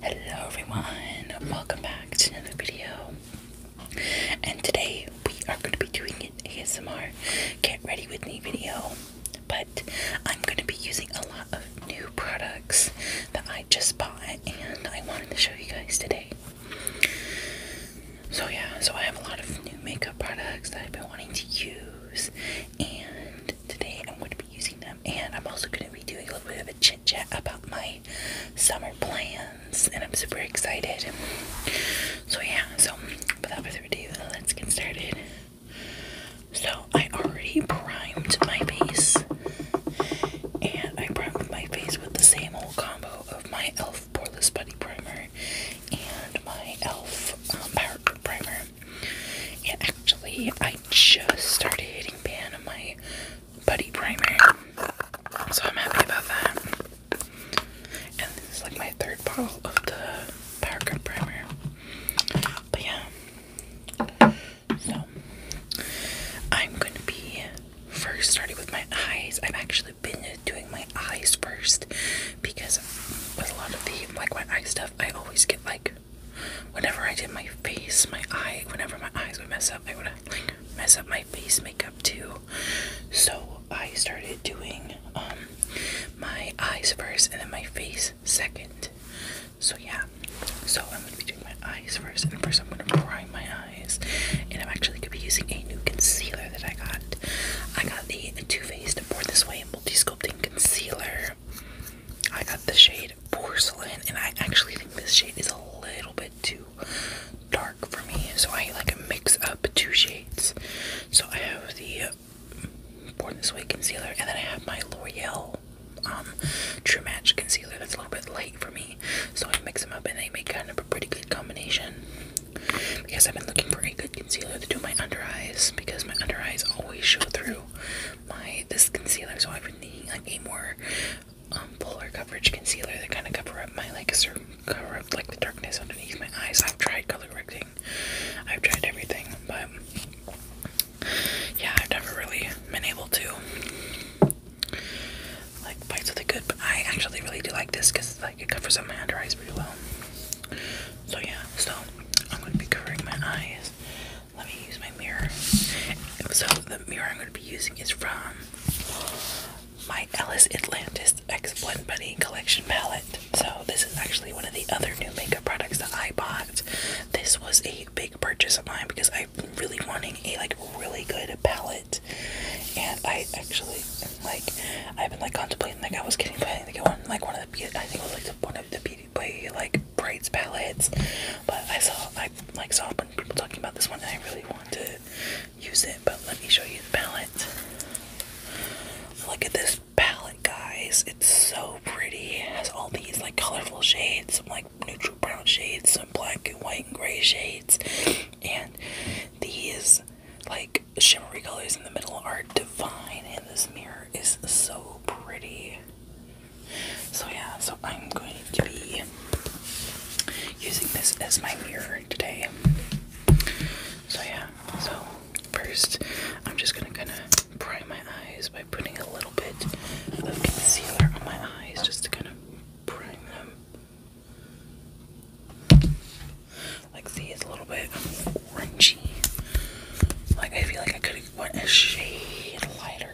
Hello everyone, welcome back to another video. And today we are going to be doing an ASMR get ready with me video. But I'm going to be using a lot of new products that I just bought and I wanted to show you guys today. So yeah, so I have a lot of new makeup products that I've been wanting to use and today I'm going to be using them and I'm also going to be doing a little bit of a chit chat about my summer plans and I'm super excited. So yeah, so without further ado, let's get started. So I already primed my face, and I primed my face with the same old combo of my e.l.f. Portless Buddy Primer and my e.l.f. Um, Power Primer. And actually, I just started hitting pan on my Buddy primer, so I'm happy about that. And this is like my third bottle of the Power Grip Primer. But yeah. So I'm going to be first starting with my eyes. I've actually been doing my eyes first because with a lot of the like my eye stuff, I always get like whenever I did my face, my eye, whenever my eyes would mess up, I would mess up my face makeup too. So I started doing um my eyes first and then my face second. So yeah. So I'm gonna be doing my eyes first, and first I'm gonna prime my eyes. And I'm actually gonna be using a new concealer that I got. I got the Too Faced Born This Way Multi Sculpting Concealer. I got the shade Porcelain, and I actually think this shade is a little bit too dark for me. So I like mix up two shades. So I have the Born This Way concealer, and then I have my L'Oreal um, True Match concealer that's a little bit light for me. So I mix them up and they make kind of a pretty good combination. Because I've been looking for a good concealer to do my under eyes because my under eyes always show through my this concealer. So I've been needing like a more um, polar coverage concealer that kind of cover up my like certain cover up like the darkness underneath my eyes. I've tried color correcting, I've tried everything, but yeah, I've never really been able to like bites of the good, but I actually really do like this because like it covers up my under eyes pretty well. So yeah, so I'm gonna be covering my eyes. Let me use my mirror. So the mirror I'm gonna be using is from my Alice Atlantis X Blend Buddy Collection Palette. So this is actually one of the other new makeup products that I bought. This was a big purchase of mine because I'm really wanting a like really good palette. And I actually am, like I've been like contemplating like I was getting but I think I like one of the I think it was like one of the beauty like braids palettes. But I saw I like saw when people talking about this one and I really want to use it. But let me show you the palette. Look at this palette guys. It's so pretty. It has all these like colorful shades. like neutral brown shades, some black and white and gray shades, and these like shimmery colors in the middle are divine. And this mirror is so pretty. So yeah, so I'm going to be using this as my mirror today. So yeah, so first I'm just gonna kind of prime my eyes by putting a little. A little bit of concealer on my eyes just to kind of prime them. Like see, it's a little bit orangey. Like I feel like I could have went a shade lighter,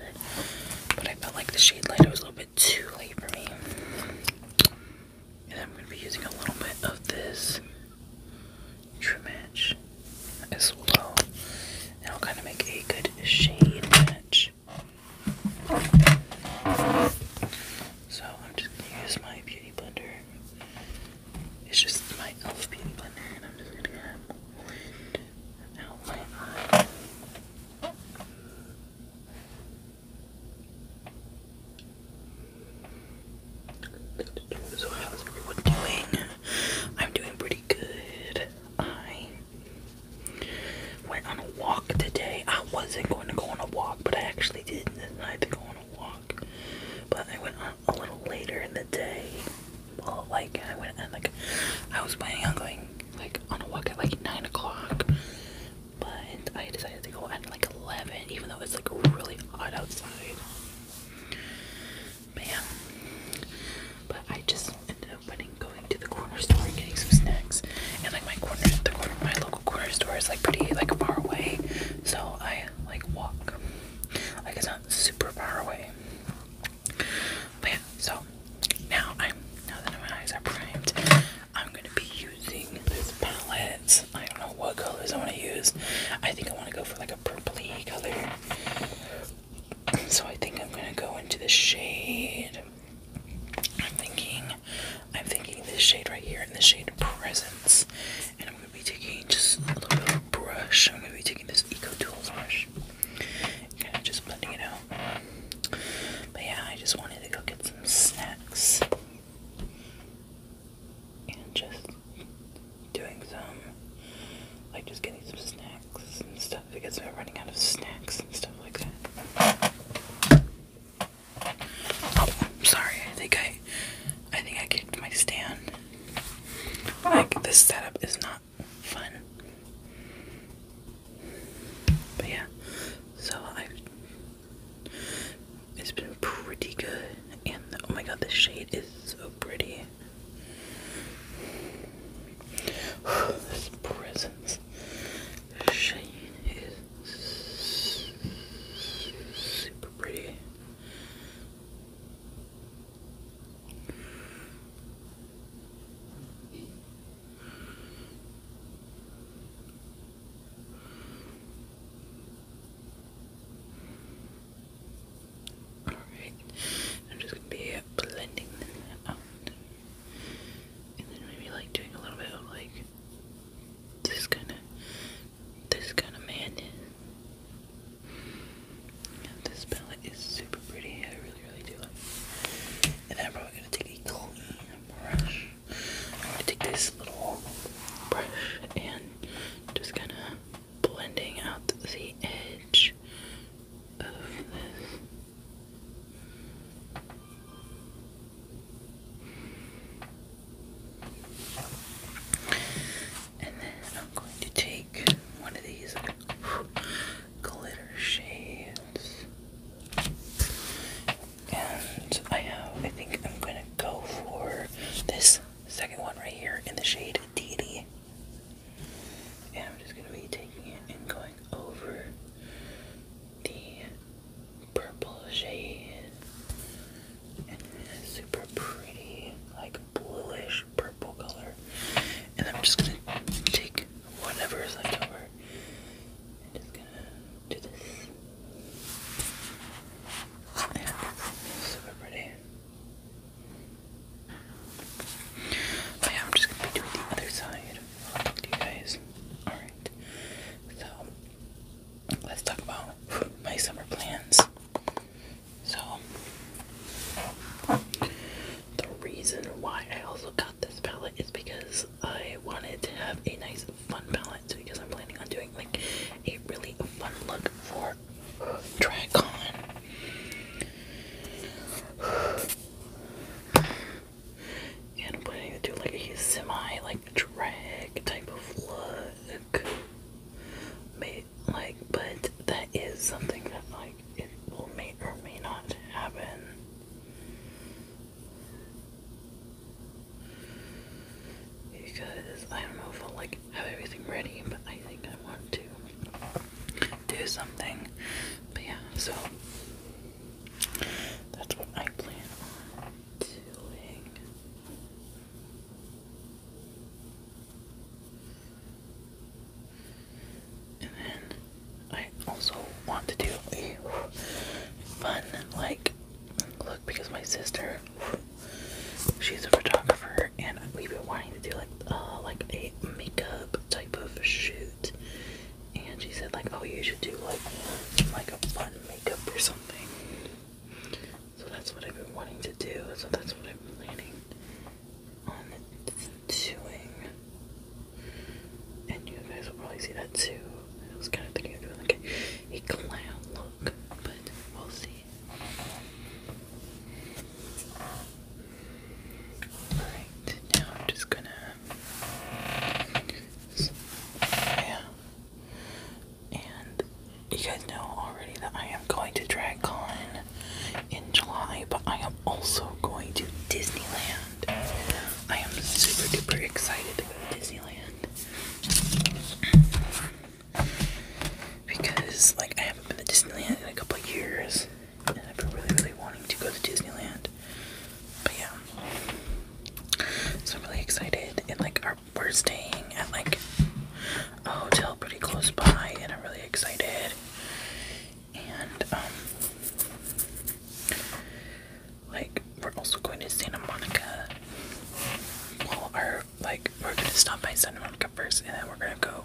but I felt like the shade lighter was a little bit too late for me. And I'm gonna be using a little bit of this True Match as well. And I'll kind of make a good shade match so I'm just gonna use my beauty blender. It's just my elf beauty blender, and I'm just gonna blend out my eye. So how's everyone doing? I'm doing pretty good. I Went on a walk today. I wasn't going to go on a walk, but I actually did I had to go on a walk. But I went on a little later in the day. Well, like I went like I was planning on going like on a walk at like nine o'clock, but I decided to go at like eleven, even though it's like really hot outside. But but I just ended up putting, going to the corner store and getting some snacks. And like my corner, the corner, my local corner store is like pretty like far away, so I like walk. Like it's not super far away. But yeah, so now I'm now that my eyes are primed, I'm gonna be using this palette. I don't know what colors I want to use. I think I want to go for like a purpley color. So I think I'm gonna go into the shade. I'm thinking, I'm thinking this shade right here, and this shade Presence, and I'm gonna be taking just a little bit of brush. I'm gonna be taking this Eco Tools brush, kind of just blending it out. But yeah, I just wanted to go get some snacks and just doing some, like just getting some snacks and stuff because we're running out of snacks and stuff like that. Oh, sorry. I think I, I think I kicked my stand. Like this setup is not fun. But yeah, so I. It's been pretty good, and oh my god, the shade is so pretty this presence. Shane is super pretty. Alright, I'm just gonna be blending them out. And then maybe like doing a little bit of like this kind of this kind of man. this palette is super pretty. I really, really do And I'm probably gonna take a clean brush. i take this little brush and just kind of blending out the edge of this. And then I'm going to take one of these glitter shades. And I have, I think I'm going to go for this second one right here in the shade Deity. And I'm just going to be taking it and going over the purple shade. And super pretty, like bluish purple color. And I'm just going to take whatever is left over and just going to do this. super pretty. I'm just gonna be doing the other side. Do you guys? Alright. So let's talk about my summer plans. So the reason why I also got this palette is because I wanted to have a nice fun palette because I'm planning on doing like a really fun look for DragCon and I'm planning to do like a semi like drag type of look. May, like, but that is something that like it will may or may not happen. Because I don't know if i like have everything ready, but I think I want to do something. But yeah, so that's what I plan on doing. And then I also want to do a fun like look because my sister she's a photographer and we've been wanting to do like uh like a makeup type of shoot and she said like, oh, you should do like like a fun makeup or something. So that's what I've been wanting to do. So that's what I'm planning on doing. And you guys will probably see that too. I was kind of thinking of doing like a, clown look, but we'll see. Alright, now I'm just gonna yeah. And you guys know already that I am going to DragCon in July, but I am also going to Disneyland. I am super duper excited to go to Disneyland. Because, like, I haven't been to Disneyland in a couple years. I've been really, really wanting to go to Disneyland. But yeah, so I'm really excited. And like, our, we're staying at like a hotel pretty close by, and I'm really excited. And um, like, we're also going to Santa Monica. Well, our like, we're gonna stop by Santa Monica first, and then we're gonna go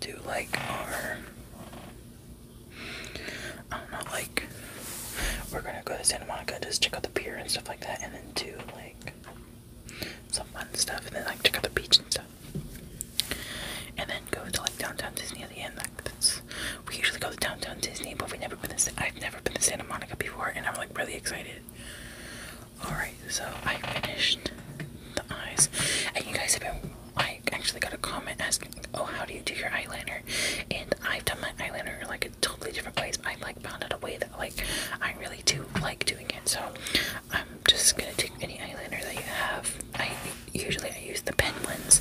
do like our I don't like, we're gonna go to Santa Monica, just check out the pier and stuff like that, and then do, like, some fun stuff, and then, like, check out the beach and stuff. And then go to, like, downtown Disney at the end. Like, that's, we usually go to downtown Disney, but we never been to, I've never been to Santa Monica before, and I'm, like, really excited. Alright, so I finished the eyes, and you guys have been I actually got a comment asking, "Oh, how do you do your eyeliner?" And I've done my eyeliner like a totally different way. I like found out a way that like I really do like doing it. So I'm just gonna take any eyeliner that you have. I usually I use the pen ones,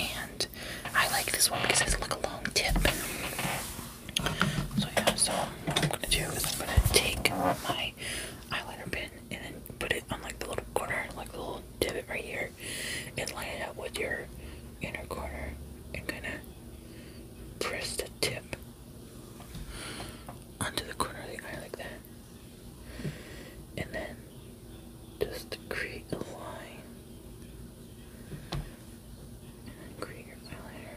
and I like this one because it's like a long tip. So yeah, so what I'm gonna do is I'm gonna take my eyeliner pen and then put it on like the little corner, like the little Tip divot right here and line it up with your inner corner and kind of press the tip onto the corner of the eye like that. And then just create a line. And create your eyeliner.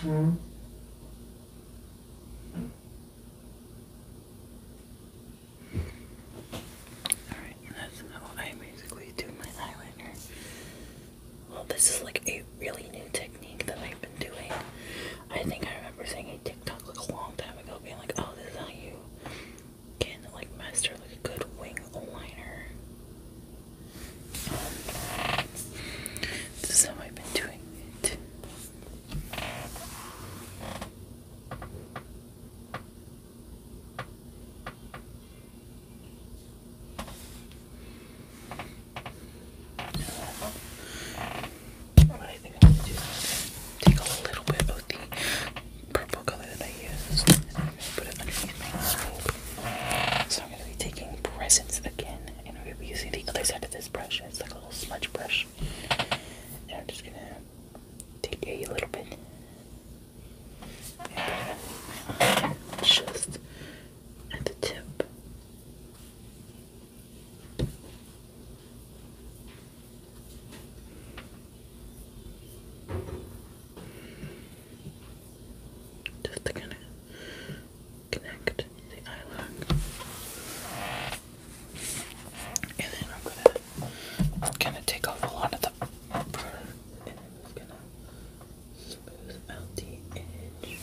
Mm. Alright, that's how I basically do my eyeliner. Well, this is like a really new technique that I've been doing. I think I remember seeing a TikTok like a long time ago being like, oh, this is how you can like master like a good wing liner. Um, this is how I've been doing it take a little bit of the purple color that I used put it underneath my scope. So I'm gonna be taking presence again and we're gonna be using the other side of this brush. It's like a little smudge brush. And I'm just gonna take a little bit and Just at the tip. Just to connect the eyelock. And then I'm gonna, gonna take off a lot of the rubber and I'm gonna smooth out edge.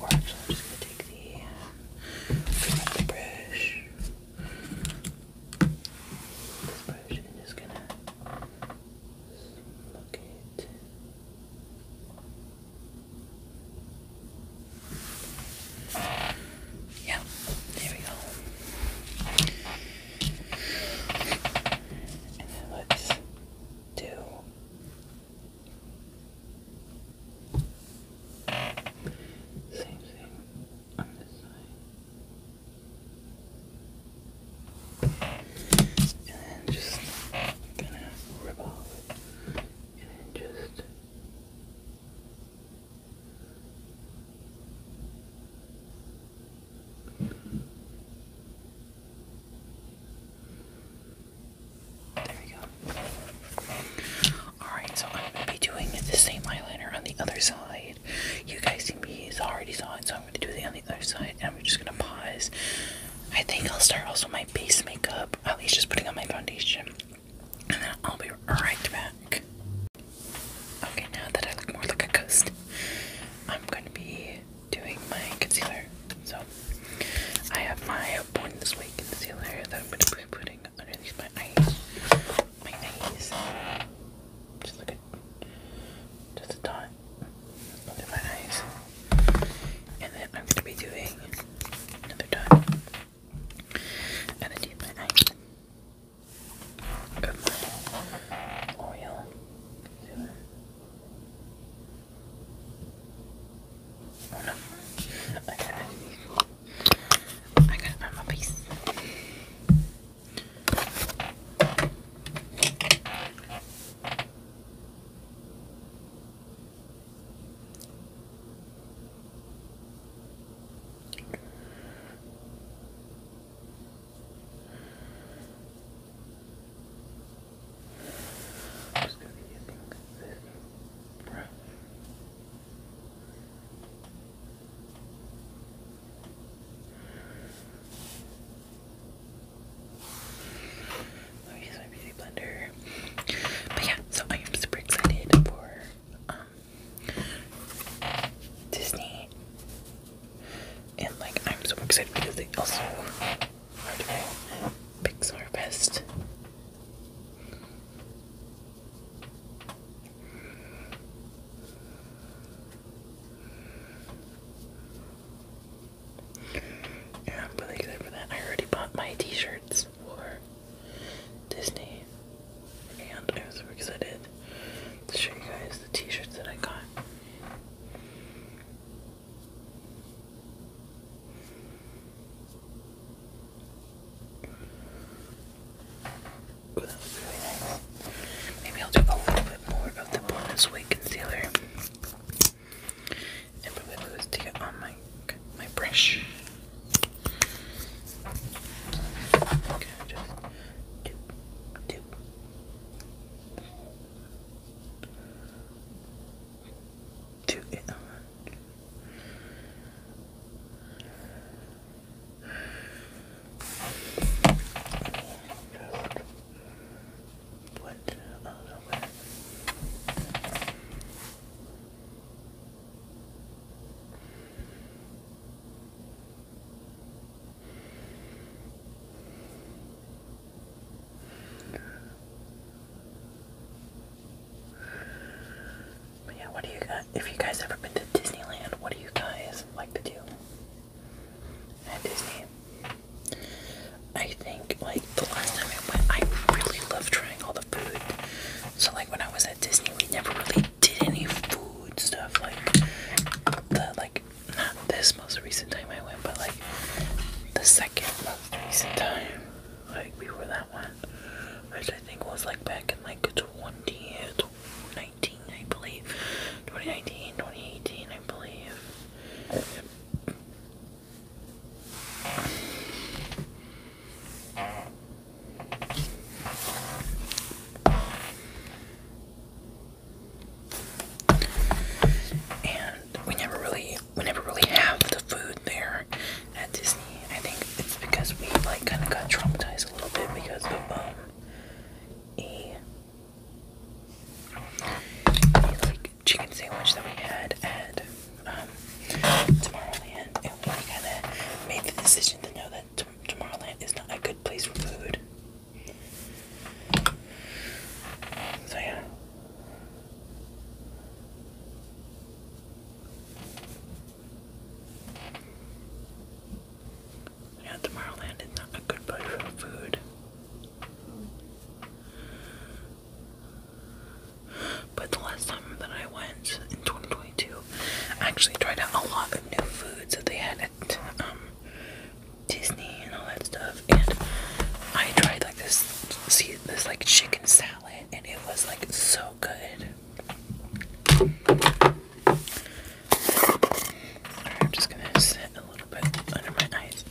Or actually, I'm just gonna take the, um, brush. This brush and just gonna smoke it. Yeah, there we go. And then let's do same thing on this side. And then just gonna rip off. And then just there we go. Alright, so I'm going to be doing the same eyeliner on the other side. You guys see me already saw it, so I'm going to do it on the other side. And we're just going to pause. I think I'll start also my base makeup, at least just putting on my foundation. And then I'll be right back. Okay, now that I look more like a ghost, I'm going to be doing my concealer. So I have my Born This Way concealer that I'm going to be putting underneath my eyes. My eyes. just a dot under my eyes. And then I'm going to be doing another dot underneath my eyes of my L'Oreal concealer. Oh no. Okay. I gotta find my piece. I'm just gonna be using this brush. I'm using blender. But yeah, so I am super excited for um, Disney. And like I'm super excited because they also Pixar Best. Yeah, I'm really excited for that. I already bought my t-shirts for Disney. And I was super excited to show you guys the t-shirts that I got. Maybe I'll do a little bit more of the bonus weight concealer. And probably lose to get on my my brush to it but yeah, what do you guys, if you guys ever been to Disneyland, what do you guys like to do at Disney? I think, like, the last time I went, I really loved trying all the food. So, like, when I was at Disney, we never really did any food stuff. Like, the, like, not this most recent time I went, but, like, the second Recent time, like before that one, which I think was like back in like 2019, I believe, 2019, 2018, I believe. And we never really we never really have the food there at Disney. I think it's because we like kind of got traumatized a little bit because of um a, like chicken sandwich that we had at um Tomorrowland, we kind of made the decision to know that Tomorrowland is not a good place for food. So yeah, yeah, Tomorrowland is not a good place for food. But the last time that I went in 2022, I actually tried out a lot of new foods that they had at um, Disney and all that stuff and I tried like this see this like chicken salad and it was like so good. I'm just gonna set a little bit under my eyes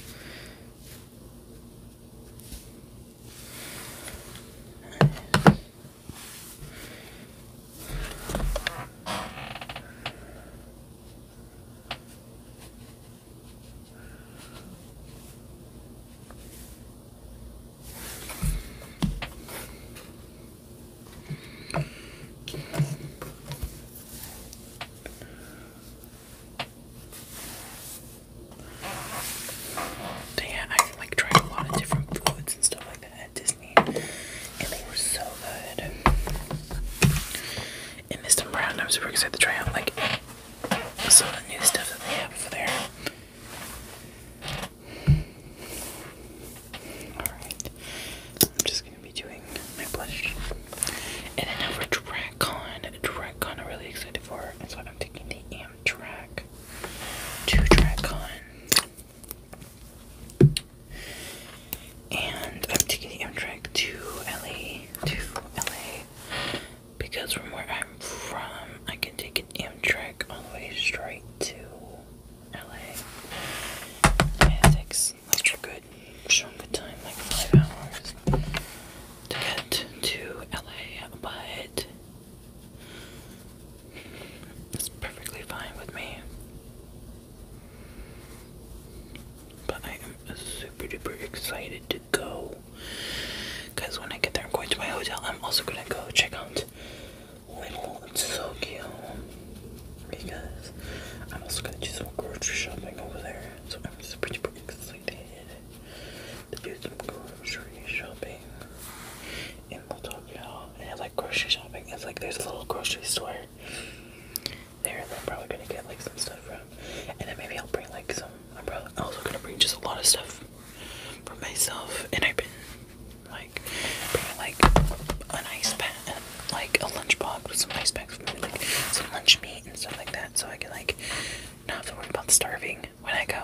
yeah, I like tried a lot of different foods and stuff like that at Disney, and they were so good. And this time I'm super excited to try out like some of the new stuff that they have over there. Alright. I'm just gonna be doing my blush. And then now for DragCon. DragCon I'm really excited for. And so I'm taking the Amtrak to DragCon. And I'm taking the Amtrak to LA. To LA because from where I'm from, I can take an Amtrak all the way straight to LA. And takes like a good chunk of time, like five hours, to get to LA, but it's perfectly fine with me. But I am super duper excited go. Because when I get there, I'm going to my hotel. I'm also going to go check out Little Tokyo. Because I'm also going to do some grocery shopping over there. So I'm super, super excited to do some grocery shopping in Tokyo. And I like grocery shopping. It's like there's a little grocery store there that I'm probably going to get like some stuff from. And then maybe I'll bring like some I'm probably also gonna bring just a lot of stuff for myself, and I've been like bringing like an ice pack, like a lunch box with some ice packs for me, like some lunch meat and stuff like that, so I can like not have to worry about starving when I go.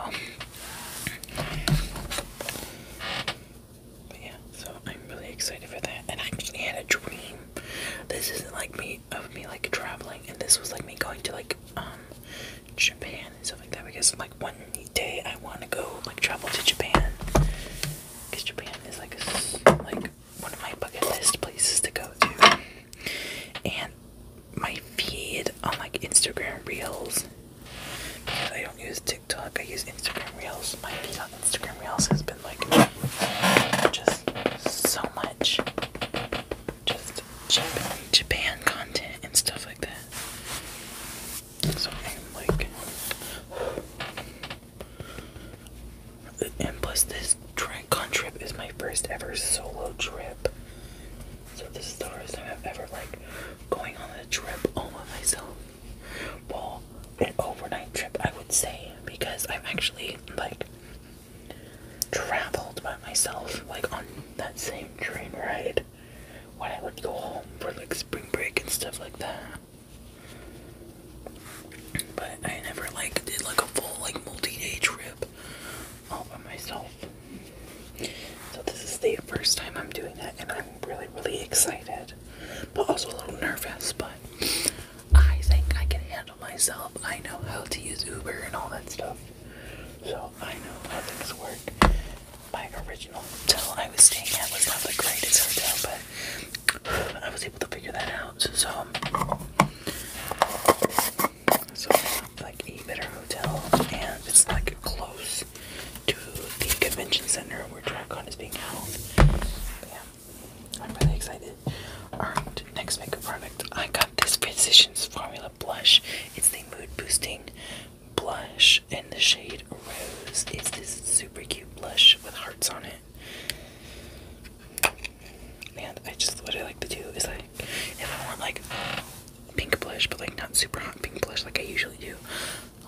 But yeah, so I'm really excited for that, and I actually had a dream. This isn't like me of me like traveling and this was like me going to like um Japan and stuff like that because like one day I want to go like travel to Japan because Japan is like a, like one of my bucket list places to go to and my feed on like Instagram reels because I don't use TikTok I use Instagram reels my feed on Instagram reels has been like just so much just with Japan content and stuff like that. So I'm like, and plus this Dragon trip is my first ever solo trip. So this is the first time I've ever like going on a trip all by myself. Well, an overnight trip I would say because I'm actually like traveled by myself, like on that same train ride when I would go home for like spring break and stuff like that. But I never like did like a full like multi-day trip all by myself. So this is the first time I'm doing that and I'm really really excited. But also a little nervous, but I think I can handle myself. I know how to use Uber and all that stuff. So I know how things work. My original hotel I was staying at was not the greatest hotel, but I was able to figure that out. So, so like a better hotel, and it's like close to the convention center where DragCon is being held. yeah, I'm really excited. Alright, um, Next makeup product. I got this Physicians Formula blush. It's the mood boosting blush in the shade Rose. It's this super cute blush with hearts on it. And I just what I like to do is like if I want like pink blush, but like not super hot pink blush like I usually do,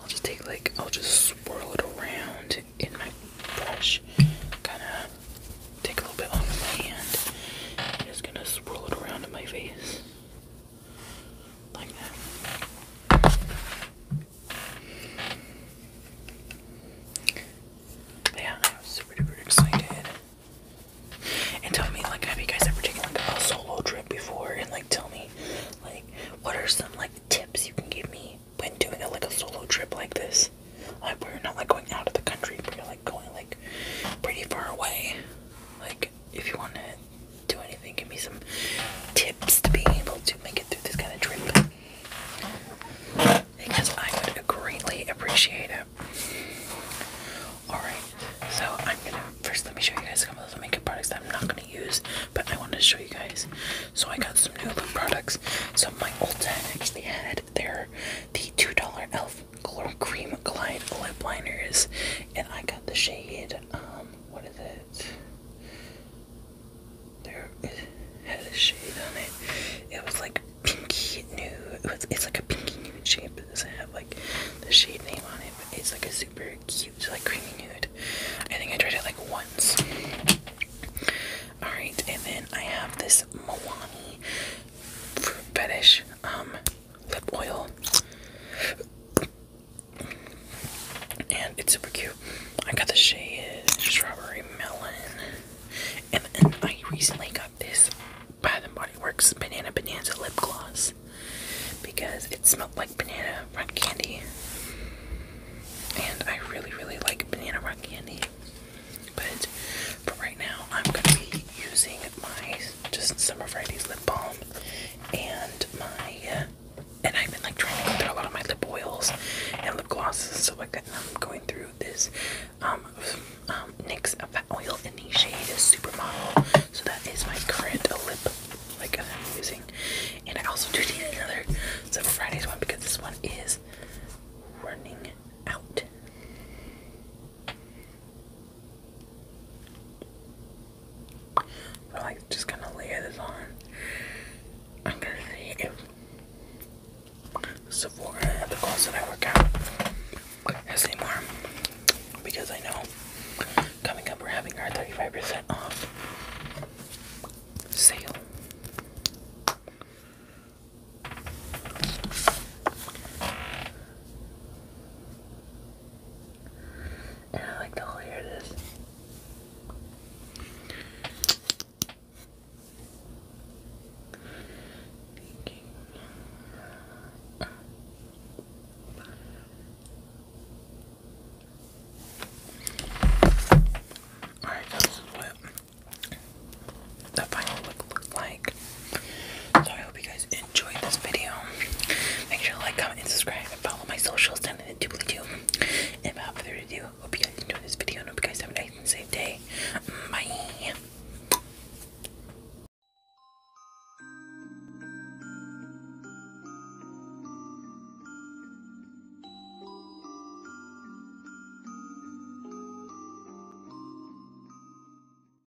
I'll just take like I'll just swirl it around in my brush, kind of take a little bit off of I'm just gonna swirl it around in my face. Like that. Yeah, I'm super duper excited. And tell me, like, have you guys ever taken like a solo trip before? And like, tell me, like, what are some like tips you can give me when doing a, like a solo trip like this? Like, we're not like going out of the country, but you're like going like pretty far away. Like, if you want to do anything, give me some tips to be able to make it through this kind of trip. Because I would greatly appreciate it. Alright, so I'm gonna first let me show you guys some of the makeup products that I'm not gonna use, but I wanted to show you guys. So I got some new lip products. So my old dad actually had their the $2 elf Cream Glide lip liners, and I got the shade. Um, what is it? There it had a shade on it. It was like pinky nude. It was, it's like a pinky nude shade, but it doesn't have like the shade name on it. But it's like a super cute, like creamy nude. I think I tried it like once. All right, and then I have this Milani fruit fetish um lip oil. And it's super cute. I got the shade Strawberry Melon. And I recently got this Bath and Body Works Banana Bonanza Lip Gloss. Because it smelled like banana rock candy. And I really, really like banana rock candy. But for right now, I'm going to be using my just Summer Fridays lip balm and my uh, and I've been like trying to go through a lot of my lip oils and lip glosses So like I'm um, going through this um, um NYX oil in the shade super model. so that is my current lip like I'm using and I also do need another Summer Fridays one because this one is running out so like just gonna layer this on. I'm gonna see if at the clothes that I work out, has any more. Because I know coming up we're having our 35% off sale. And I like the whole hair this. Alright, this is what the final look looks like. So I hope you guys enjoyed this video. Make sure to like, comment, and subscribe, and follow my socials down in the doobly doo. And for the ado, hope you guys enjoyed this video, hope you guys have a nice and safe day. Bye.